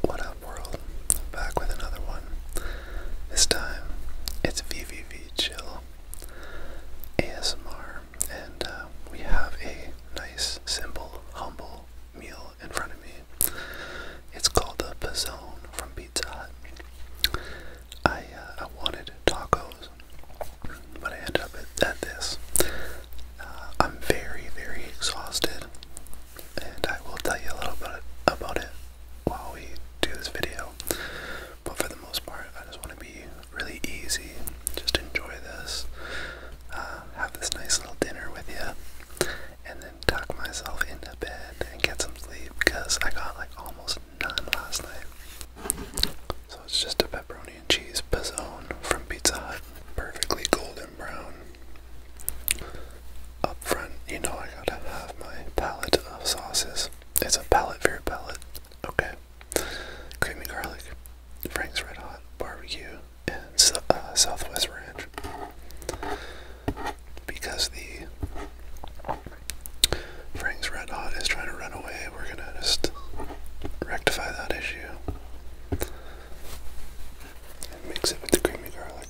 What up, world? Back with another one. This time, it's VVV Chill ASMR, and uh, we have a nice, simple, humble meal in front of me. It's called the Pizzone from Pizza Hut. I, uh, I wanted tacos, but I ended up at this. Uh, I'm very, very exhausted, and I will tell you a little bit about it while we do this video. But for the most part, I just want to be really easy, just enjoy this, uh, have this nice little dinner with you, and then tuck myself into bed and get some sleep because I got like almost none last night. So it's just a bit pepperoni and cheese pizzone from Pizza Hut, perfectly golden brown. Up front, you know I gotta have my palette of sauces. It's a palette for your palette. Okay. Creamy garlic, Frank's Red Hot Barbecue, and uh, Southwest Ranch. Because the Frank's Red Hot is trying to run away, we're gonna just rectify that issue and mix it with the creamy garlic.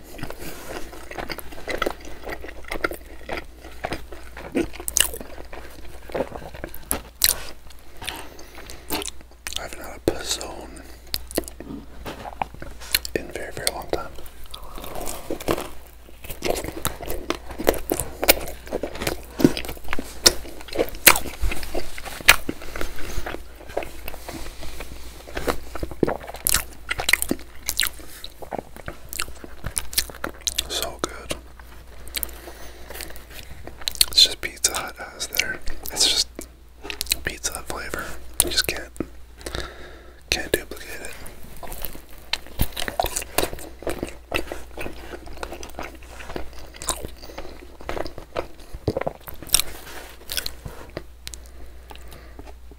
I haven't had a pizzone in a very, very long time. So good. It's just Pizza hot has there. It's just Pizza flavor. You just can't can't duplicate it.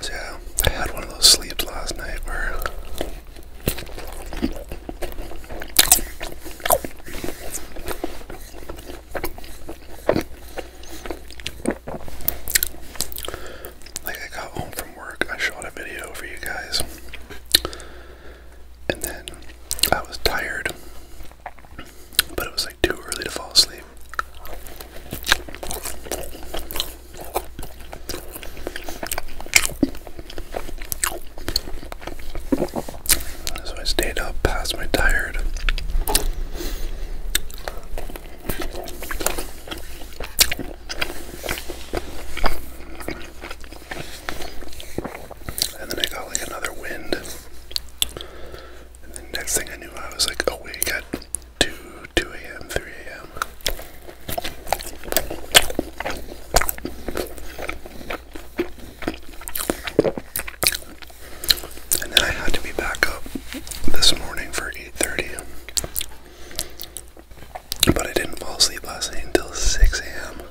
So I had one of those sleeps last night where like I got home from work, I shot a video for you guys. And then I was tired but it was like too early to fall asleep. So I stayed up past my tired. And then I got like another wind. And then next thing I knew, I was like "Oh awake got 2, 2 a.m., 3 a.m. And then I had to be back up this morning for 8.30. But I didn't fall asleep last night until 6 a.m.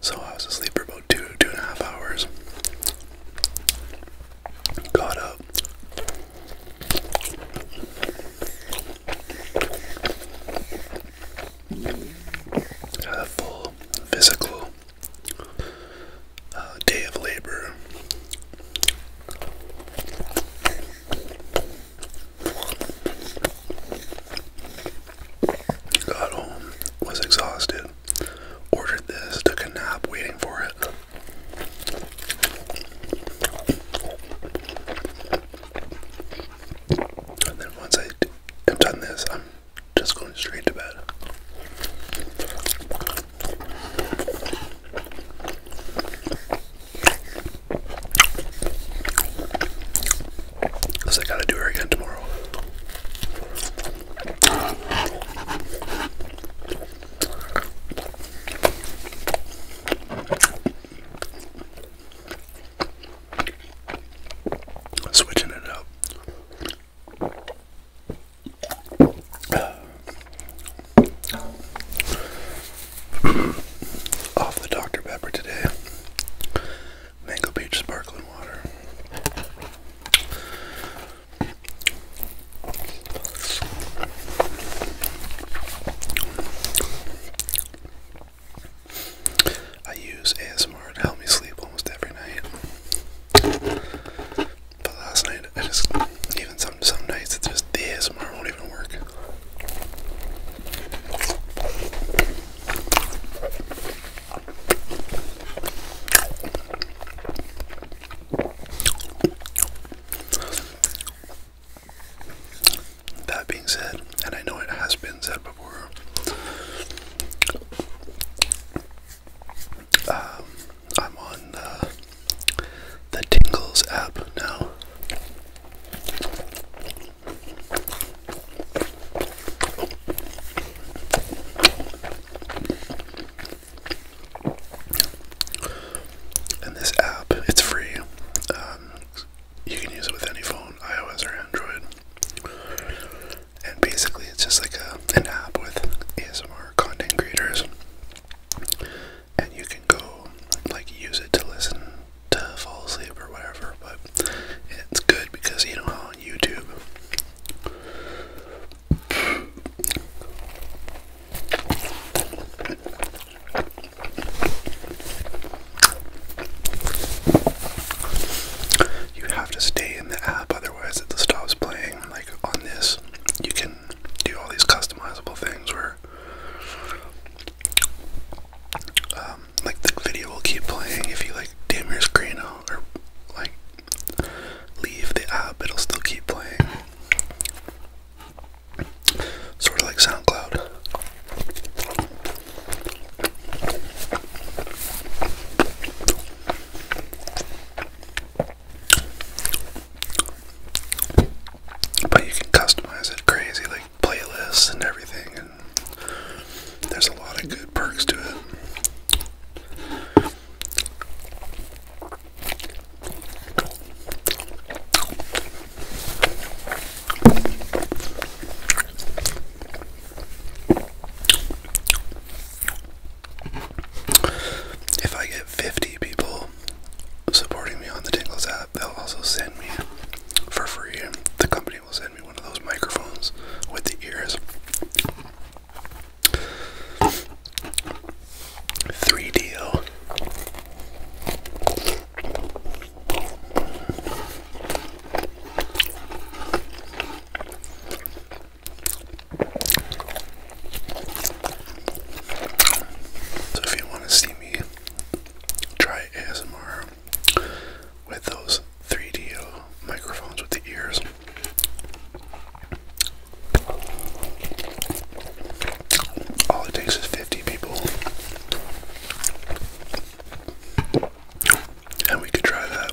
So I was asleep for about two, two and a half hours. Got up. Had a full physical uh, day of labor. Got home, was exhausted, ordered this, took a nap waiting for it. And then once I am done this, I'm just going straight to bed. Because I gotta do her again tomorrow. Switching it up. Off the Dr. Pepper today. Mango Peach Sparkling Water. I use ASMR to help me sleep almost every night. But last night, I just even some some nights it just the ASMR won't even work. That being said, and I know it has been said before, um, I'm on uh, the Tingles app now. And this app, it's free. Um, you can use it with any phone, iOS or Android. And basically, it's just like an app with ASMR content creators and you can go like use it to listen to fall asleep or whatever, but it's good because you know how on YouTube you have to stay in the app, otherwise it stops playing. Like on this, you can do all these customizable things where um, like the video will keep playing if you like dim your screen or like leave the app it'll still keep playing sort of like SoundCloud but you can customize it crazy, like playlists and everything, and there's a lot of good perks to it. If I get 50 people supporting me on the Tingles app, they'll also send me for free. The company will send me one of those microphones with the ears. 3DO. So if you want to see me try ASMR with those 3D microphones with the ears, all it takes is 50 people. And we could try that.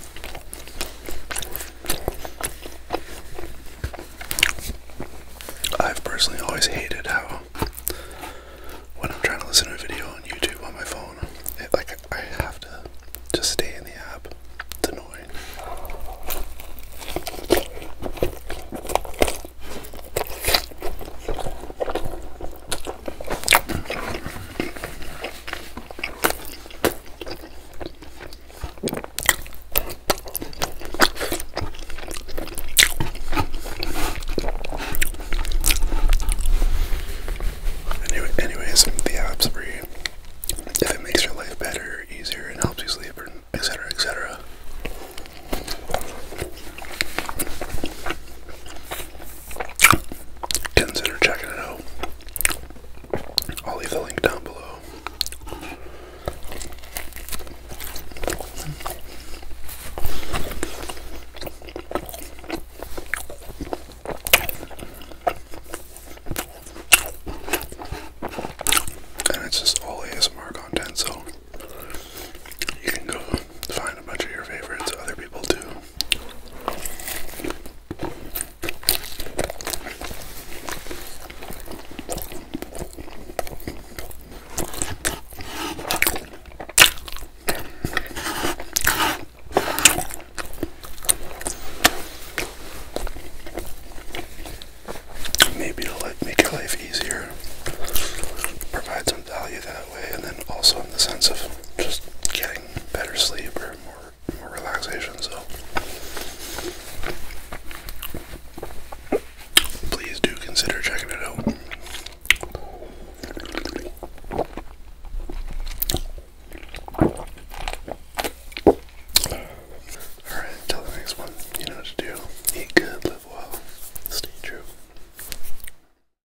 I've personally always hated how when I'm trying to listen to a video on YouTube on my phone, it, like I have to just stay in the app. It's annoying. Anyway, anyways, the apps for If it makes your life better, easier, and helps you sleep, etc., etc consider checking it out. I'll leave the link down below. And it's just all ASMR content, so you can go find a bunch of your favorites. Other people do. Maybe to like make your life easier, provide some value that way, and then also in the sense of just getting better sleep or more more relaxation. So please do consider checking it out. All right, until the next one, you know what to do. Eat good, live well, stay true.